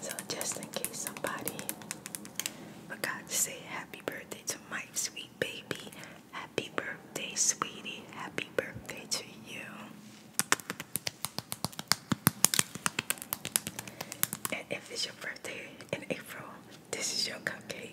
So just in case somebody forgot to say happy birthday to my sweet baby, happy birthday, sweetie, happy birthday to you. And if it's your birthday in April, this is your cupcake.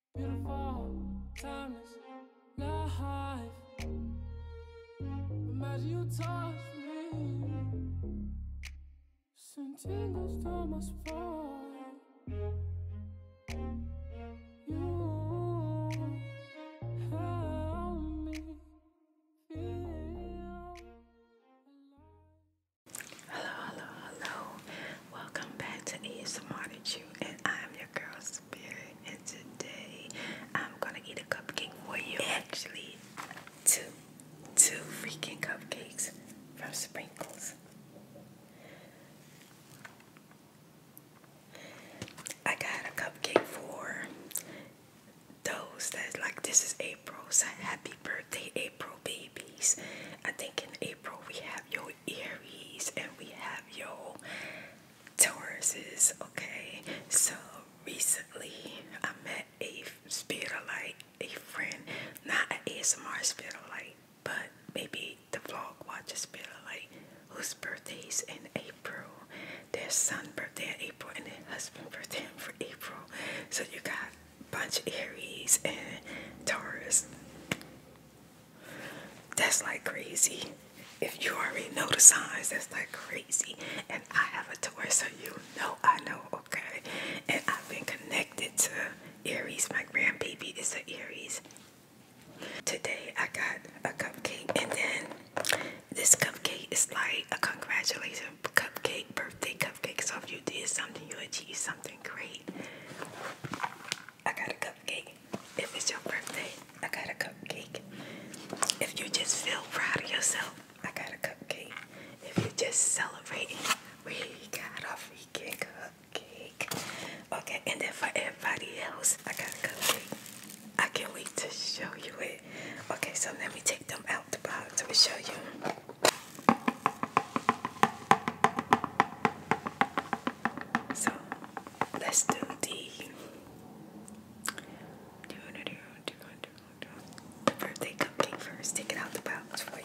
Beautiful, timeless life. Imagine you touch me. Send tingles to You help me feel alive. Hello, hello, hello. Welcome back to ASMR that and I am your girl Spirit and today I'm gonna eat a cupcake for you. Actually, two two freaking cupcakes from Sprinkles. I got a cupcake for those that like this is April, so happy birthday April babies. I think in April we have your Aries and we have your Tauruses, okay? So recently I met a spirit of light, a friend, not an ASMR light, but maybe the vlog watches light, whose birthday's in April. Their son birthday in April and their husband birthday for April. So you got bunch of Aries and Taurus. That's like crazy. If you already know the signs, that's like crazy. And I have a toy, so you know I know, okay? And I've been connected to Aries. My grandbaby is an Aries. Today I got a cupcake, and then this cupcake is like a congratulations cupcake, birthday cupcake. So if you did something, you achieved something great. I got a cupcake. If it's your birthday, I got a cupcake. If you just feel proud of yourself, I got a cupcake. If you are just celebrating, we got a freaking cupcake. Okay, and then for everybody else, I got a cupcake. I can't wait to show you it. Okay, so let me take them out the box to show you. So let's do the the birthday cupcake first. Take it out the box for you.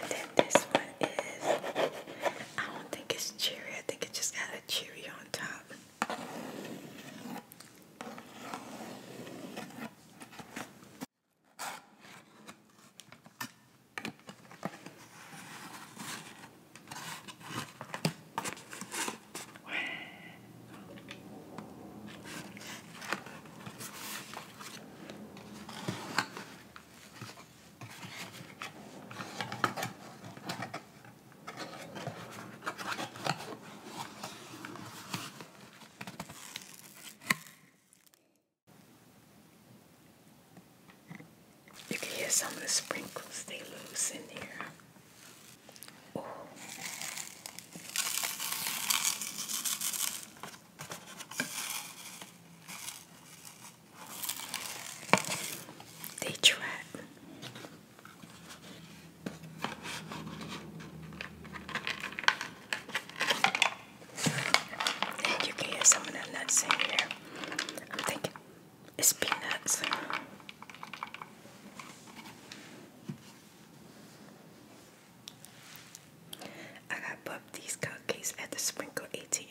And then this one is, I don't think it's cherry. I think it just got a cherry on top. You can hear some of the sprinkles they lose in here. They trap. you can hear some of that nuts in there. I'm thinking it's peanuts. I got bumped these cupcakes at the Sprinkle ATM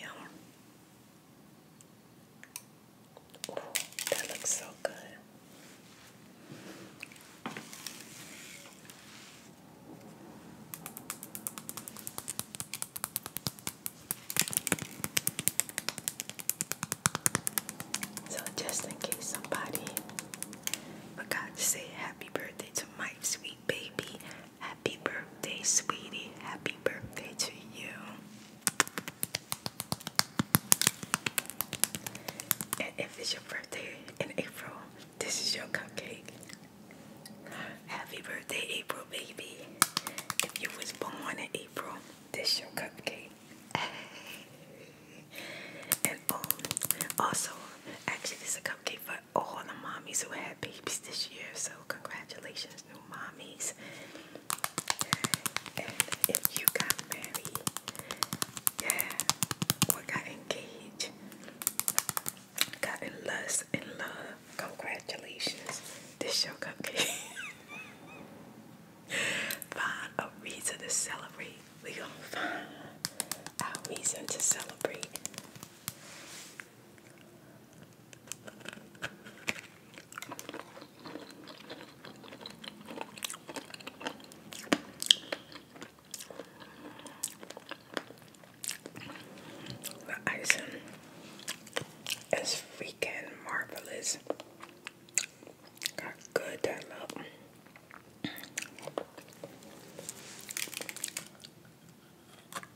that looks so good. So, just in case somebody forgot to say happy birthday to my sweet baby, Happy birthday, sweetie. Happy birthday to you. And if it's your birthday in April, this is your cupcake. Happy birthday, April baby. If you was born in April, this your cupcake. and um, also, actually, this is a cupcake for all the mommies who had babies this year. So congratulations, new mommies. And if you got married, yeah, or got engaged, got in lust and love, congratulations. This your cupcake. find a reason to celebrate. We gonna find our reason to celebrate. The icing is freaking marvelous. Got good that love.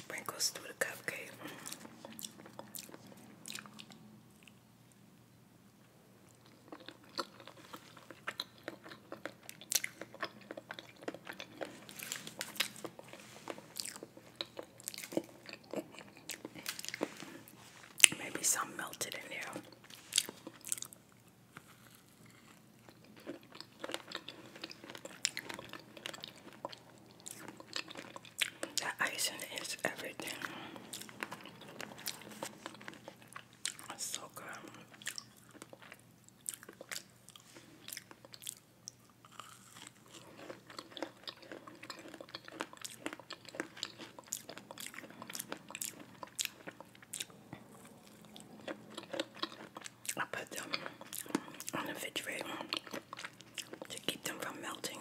sprinkles through the cupcake. Maybe some melted in here. That icing is everything. It's so good. I put them on the fridge to keep them from melting.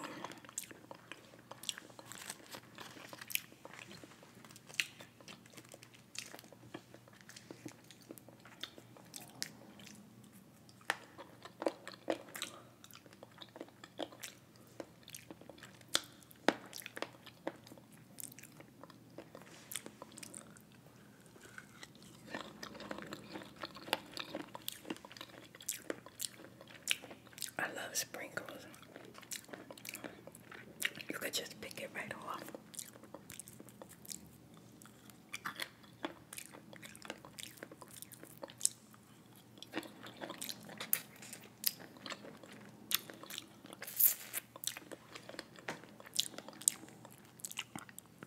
I love sprinkles. You could just pick it right off.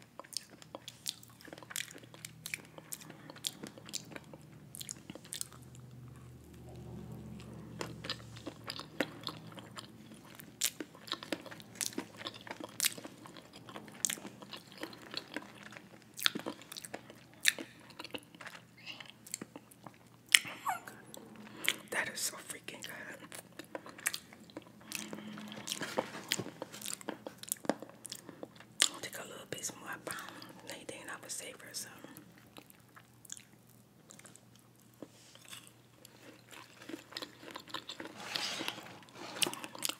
Oh my That is so freaking good. Take a little bit more brown. Anything I would save her some.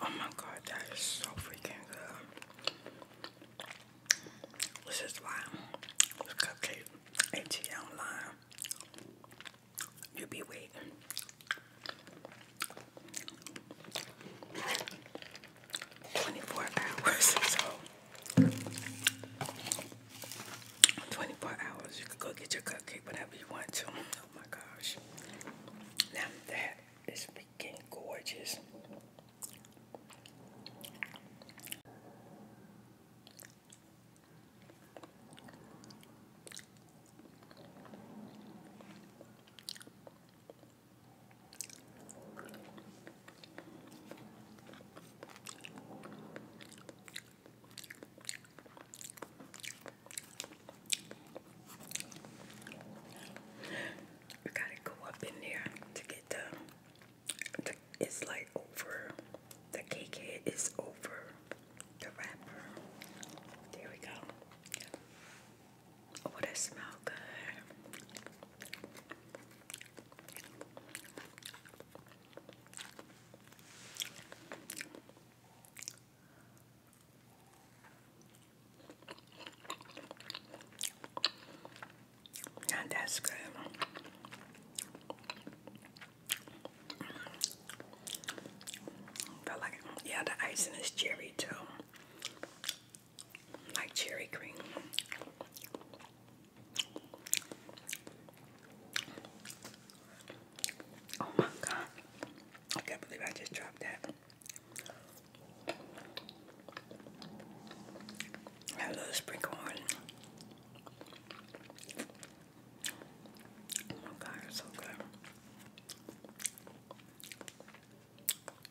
Oh my god, that is so freaking good. This is why cupcake ATL line. You be waiting. 24 hours, so 24 hours, you can go get your cupcake whenever you want to. Oh my gosh. Now that is freaking gorgeous. We gotta go up in there to get the, the it's like over the cake is over the wrapper. There we go. Oh, that smell good. Now that's good. But like, yeah, the icing is cherry too like cherry cream. Oh my god. I can't believe I just dropped that. I love sprinkle Oh my god, it's so good.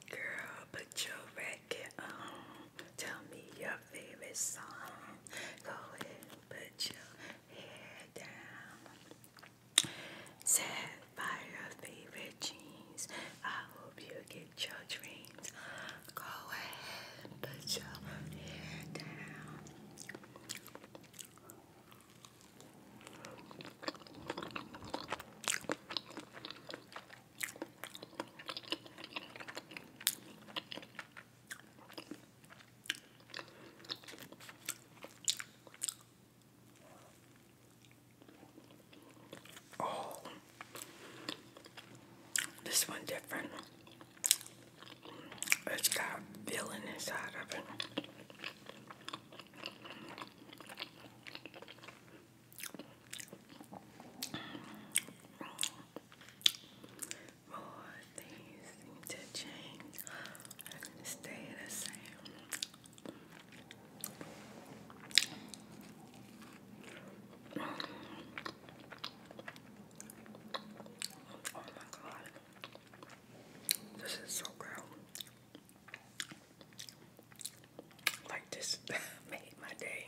Girl, put your record on. Tell me your favorite song. Go ahead put your head down. Set by your favorite jeans. I hope you get your dreams. Go ahead put your head down. Oh, this one different. It's got filling inside of it. More things to change stay the same. Oh my god. This is so good. Like this made my day.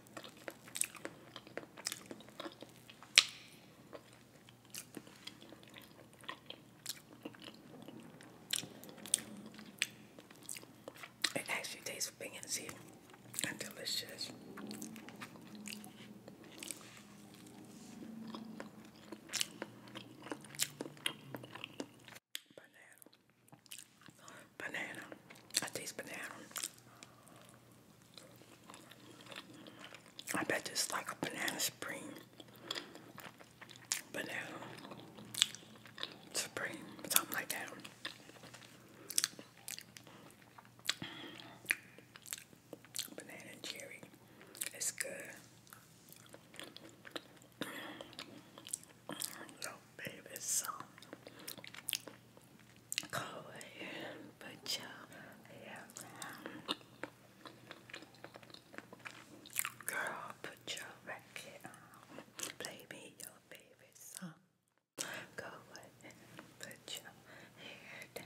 It actually tastes fancy and delicious. Banana. Banana. I taste banana. I bet it's like a banana spring. Banana spring, something like that. Banana cherry. It's good. Little baby song. Go ahead put your hair down. Girl, put your record on. Play me your favorite song. Go ahead put your hair down.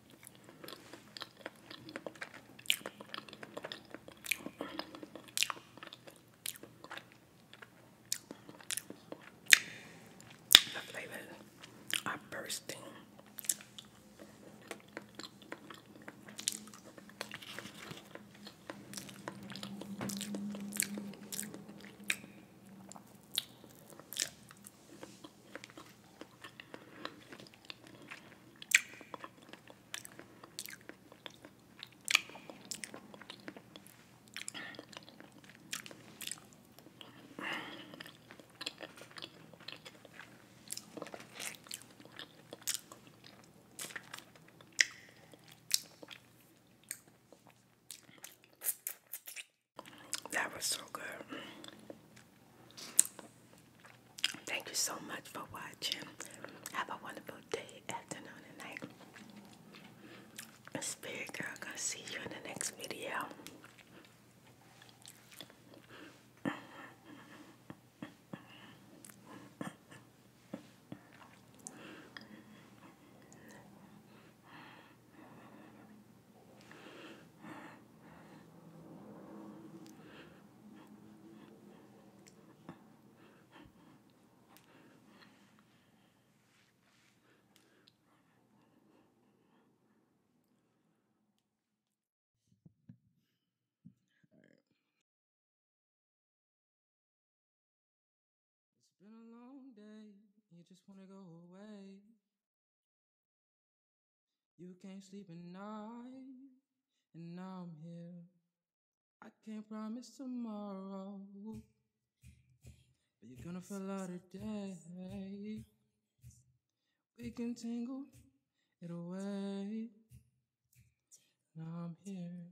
The flavors are bursting. That was so good. Thank you so much for watching. Have a wonderful day, afternoon, and night. Spirit Girl gonna see you in the next video. It's been a long day, you just wanna go away. You can't sleep at night, and now I'm here. I can't promise tomorrow, but you're gonna fall out today. We can tangle it away. Now I'm here.